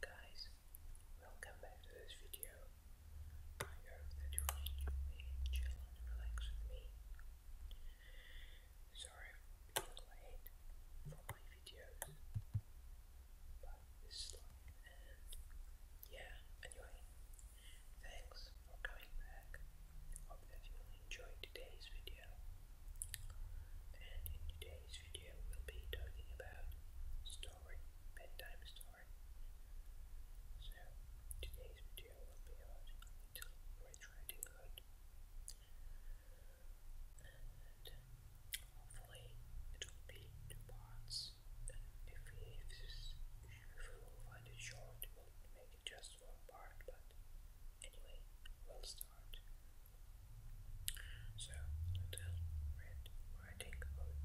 Guys, welcome back to this video. I hope that you will chill and relax with me. Sorry for being late for my videos, but this and yeah, anyway, thanks for coming back. Hope that you'll enjoy today's video. And in today's video, we'll be talking about story, bedtime story. So, today's video will be about Little Red Riding Hood. hopefully, it will be two parts. And if this, if we find it short, we'll make it just just part, but anyway, we'll start. So, little red riding hood.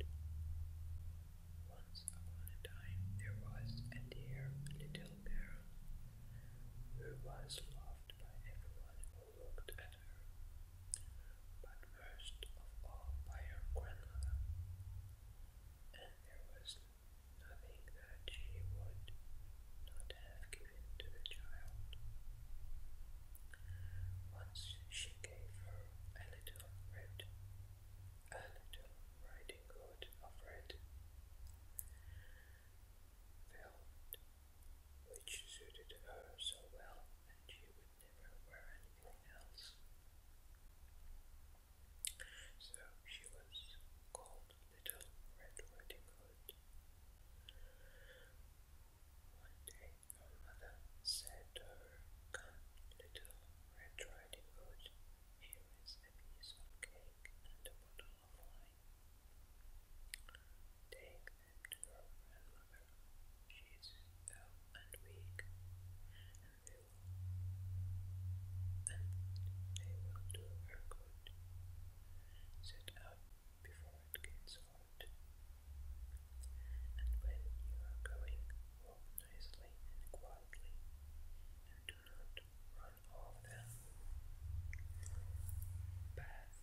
Once upon a time, there was a dear little girl who was loved by everyone who looked at her, but most of all by her grandmother. And there was nothing that she would not have given to the child. Once she gave her a little red, a little riding hood of red velvet, which suited her so well that she would never wear anything else. So she was called Little Red Riding Hood. One day her mother said to her, Come, Little Red Riding Hood, here is a piece of cake and a bottle of wine. Take them to your grandmother. She is ill and weak, and they will do her good. Sit up before it gets hot. And when you are going, walk nicely and quietly, and do not run off the path,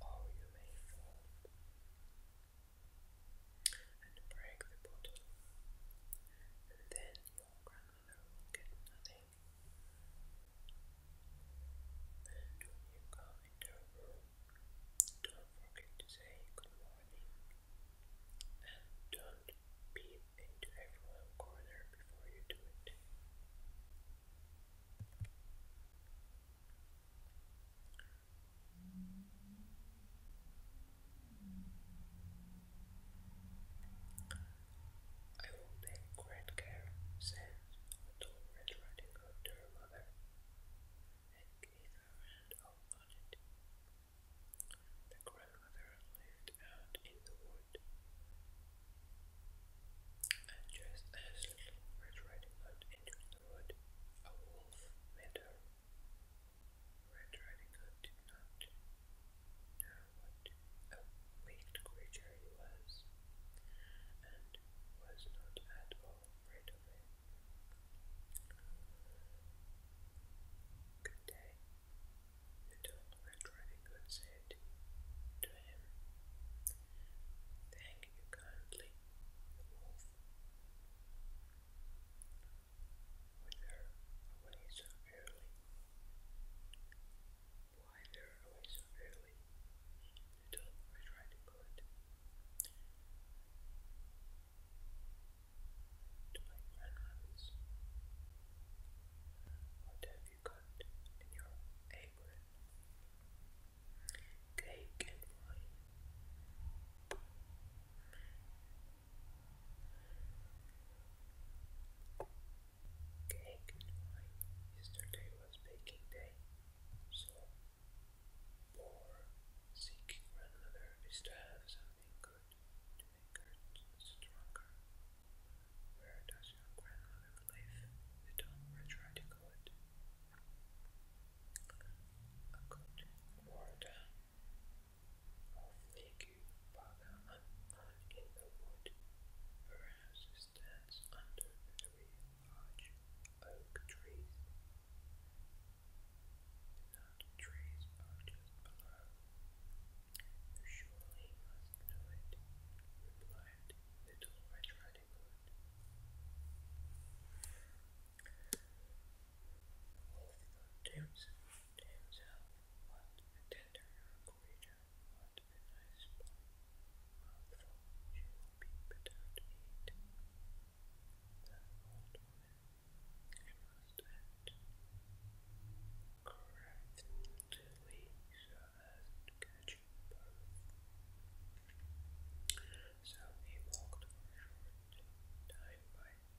or you may fall and break the bottle. And then you grandmother you don't forget to say good morning. And don't peep into everyone's corner before you do it. I will take great care, said little Red Riding Hood to her mother, and gave her hand off The grandmother lived out in the wood, and just as little Red Riding Hood entered the wood, a wolf met her. Red Riding Hood did not know what a wicked creature he was, and was not at all afraid of him. Good day, little Red Riding Hood said to him. Thank you kindly, the wolf when they early? Why they early? The dog was trying to my grandmother's. What have you got in your apron? Cake and wine. Okay, good Yesterday was baking day, so poor sick grandmother is to have something good to make her stronger. Where does your grandmother live? don't try to go it. A good word Oh, thank you, Father, i in the wood. Her stands under very large oak trees. The trees are just below. You surely must know it, replied Little Red Riding Hood. James, James L. Watt, a tender young creature, what a nice mouthful she will The old woman, I must correctly so as to catch both. So he walked for a short time by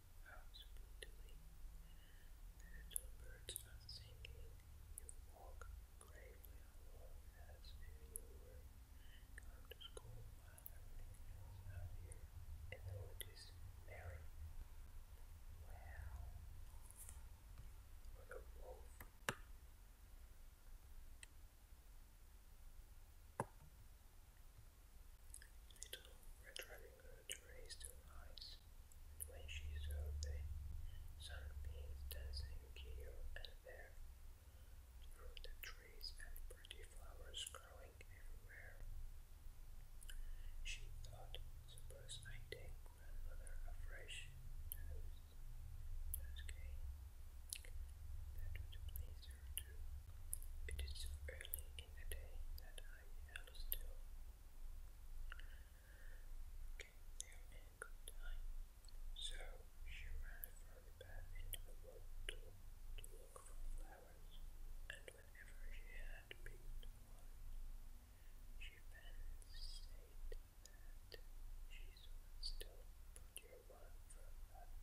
out brutally. little birds are singing. You walk gravely as you were to school everything else out here in the wood is merry. Well, for the wolf. Little Red Riding Hood raised her eyes, when she saw the sunbeams dancing here and there through the trees and pretty flowers growing everywhere, she thought, suppose I take grandmother a fresh nose, nosegay. That would please her too. It is so early, in the day that I held still. Came there in so she ran further back into the wood to, look for flowers, and whenever she had picked one, she fancied that she would still procure one from further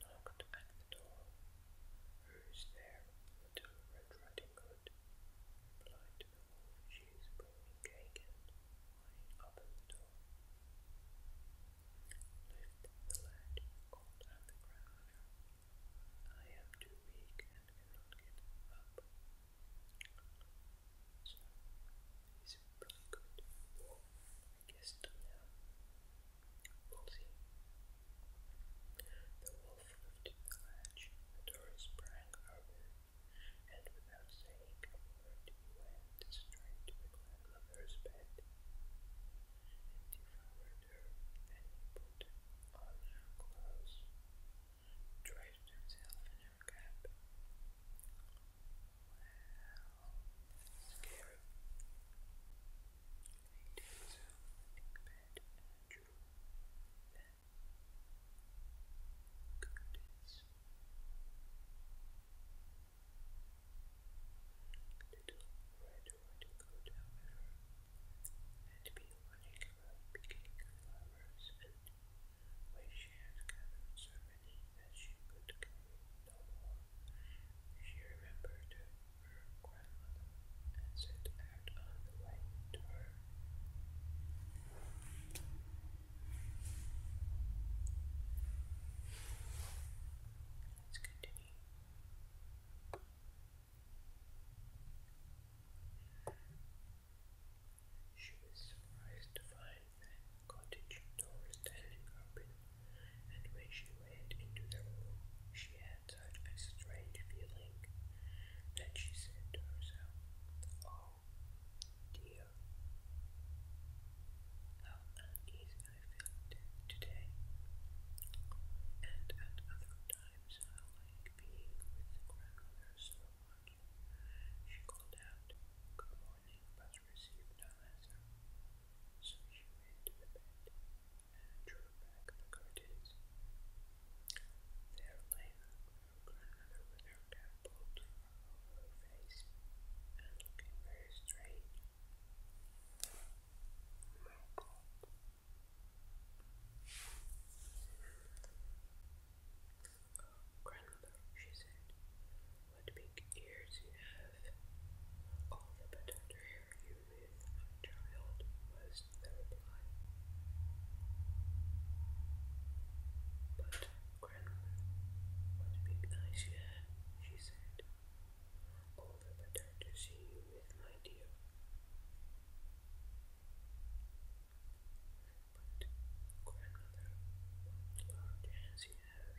knocked at the door. Who is there? Little Red Riding Hood replied to the wolf. She up the door. Lift the lad, called the crowd. I am too weak and cannot get up. So he's pretty good. Estonia, Wolsey, the wolf flew the ledge, the door sprang open, and without saying a word he went straight to the grandmother's bed, and her, and put on her clothes, dressed himself in her cap. Scarab. He takes out the bed and drew Little Red wanted to go down with her and be running and when she had gathered many that she could carry she remembered her grandmother and set out on the way to her. Let's continue. She was surprised to find the cottage door standing open and when she went into the room, she had such a strange feeling that she said to herself, Oh dear, how uneasy I felt today, and at other times I like being with grandmother so She called out, Good morning, but received no answer. So she ran to the bed and drew back the curtains. There lay her grandmother with her cap pulled face and looking very strange. My God. Grandmother, she said, what big ears you have! All the better to hear you with, child, was the reply. But, Grandma, what big eyes you have, she said. All the better to see you with, my dear. But, Grandmother, what large hands you have!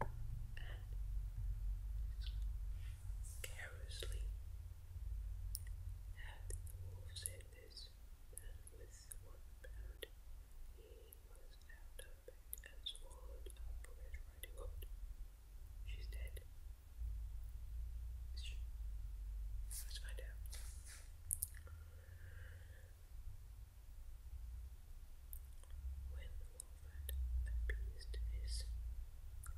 and carelessly had the wolf this, and with one bound he was out of bed and swallowed up Red Riding Hood. She's dead. She Let's find out. Wolford appeased his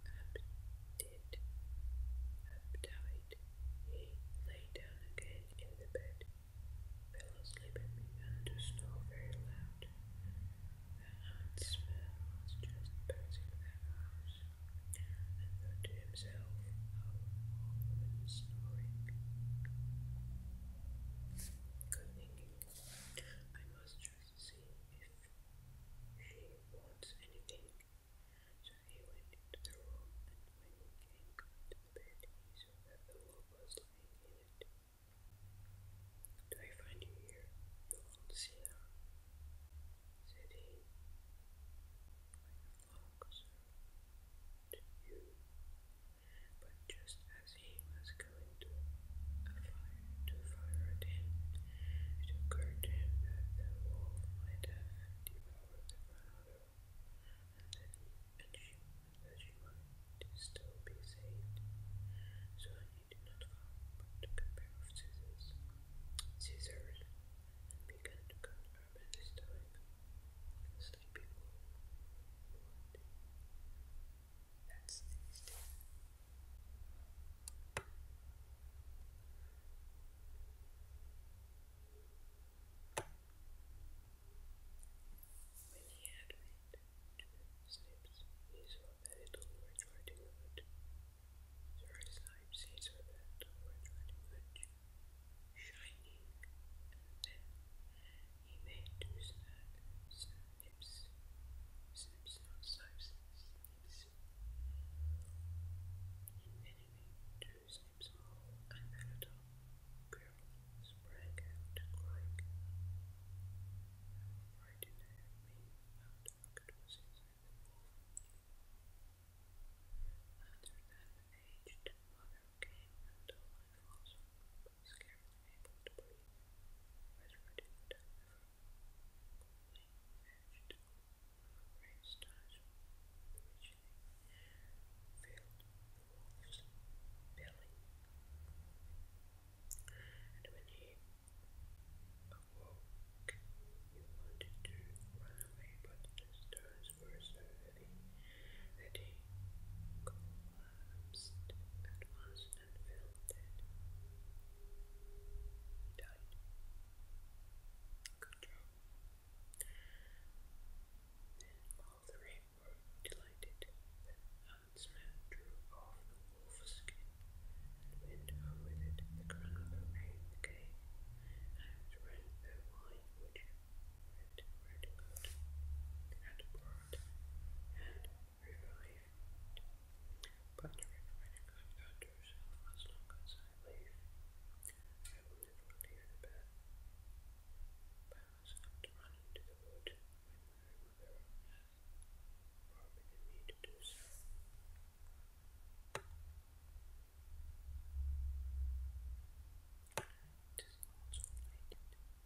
appetite. He lay down again in the bed. Fell asleep and began to snore very loud. The hot smell was just passing the house, and thought to himself, "How all women snoring." Good thinking. I must tries see if she wants anything. So he went into the room, and when he came the bed, he that the wolf was lying in it. Do I find you here, you old sinner? said he. I long you, but just as he was going to fire to fire it in, it occurred him that the wolf might have devoured the runner, and that he, and she, that she might still be saved. So he did not follow, but took a of scissors, scissors, and began to cut her this time. The that's these When he had made two snips, he saw that it was Riding Hood. Three snipes, he then he made two snaps snips, snips, snip, snip, snips. Envenoming two snips more, and Peloton girl sprang out crying. I'm right in there, me, and the wall. Other than aged mother came and told my father mascara was unable to breathe. Was reduced to coldly vegetable raised stars filled the wolf's belly. And when he awoke, he wanted to run away, but the stars were so the day collapsed at once and He died. Good job. Then all three were delighted. Then Huntsman drew off the wolf skin and went home with it the crown of the rain and drank the wine which good, and But the recommended good to herself as long as I live. I will never leave the bed. Bows had to run into the wood when my mother had forbidden me to do so. It is also related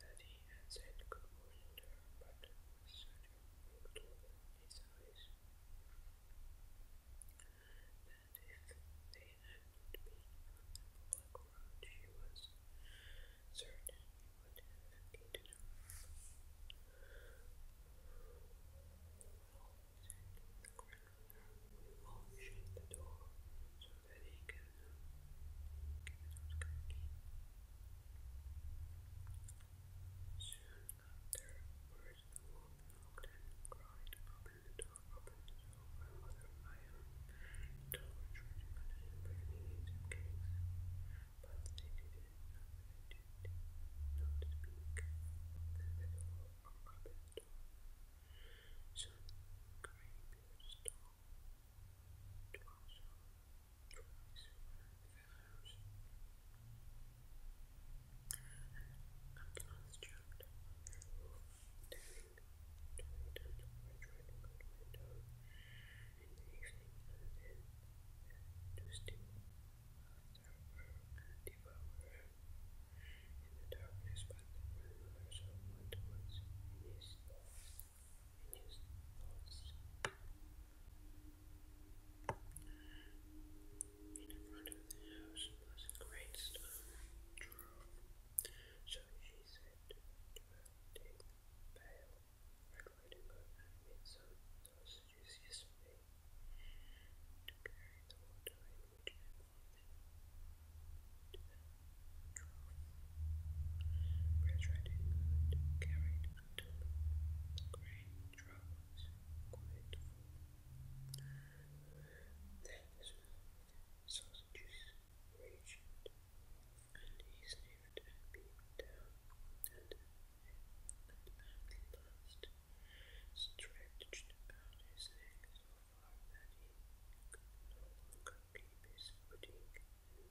that he had said good morning to her, but Sergio looked over his eyes. That if they had not been on the public she was certain would have eaten her up. Well, the grandmother, we will shut the door very good. Soon after, words the wolf knocked cried, Open the door, open the door, my mother, I am torch, and burning some cakes. But they didn't, they did not speak. Open the door, open the door. Some grey beard stole twice, twice hours. At last jumped, turning, turning down the refrigerator window in the evening and then to steal after in the darkness, but there were so one to once in in front of the house was a great so she said Take the Red Riding Hood had made some sausages yesterday to carry the water in which I Prince Riding Hood carried until great troubles quite full. Then the smell reached, and he sniffed and peeped down, and at last stretched out his legs no longer and began to slip and slipped down from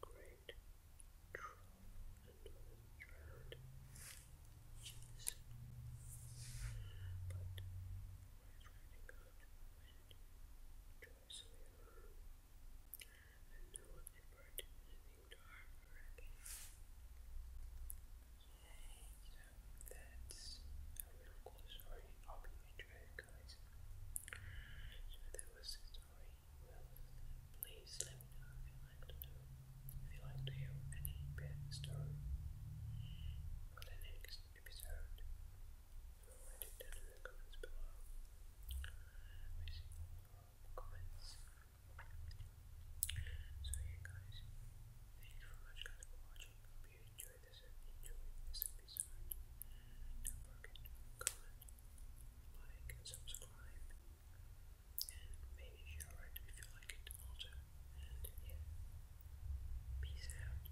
great trough and drowned. But Red Riding Hood went joyously along, and no one ever did anything to harm her again. And that's how it all goes. Sorry, hope you guys. So that was the story. please let me know if you like to know, if you like to hear any bad story for the next episode. write it down in the comments below. We see all your comments. So yeah guys, thank you very much guys for watching. Hope you enjoyed this episode. Don't forget to comment, like and subscribe. And maybe share it if you like it also. And yeah. Peace out.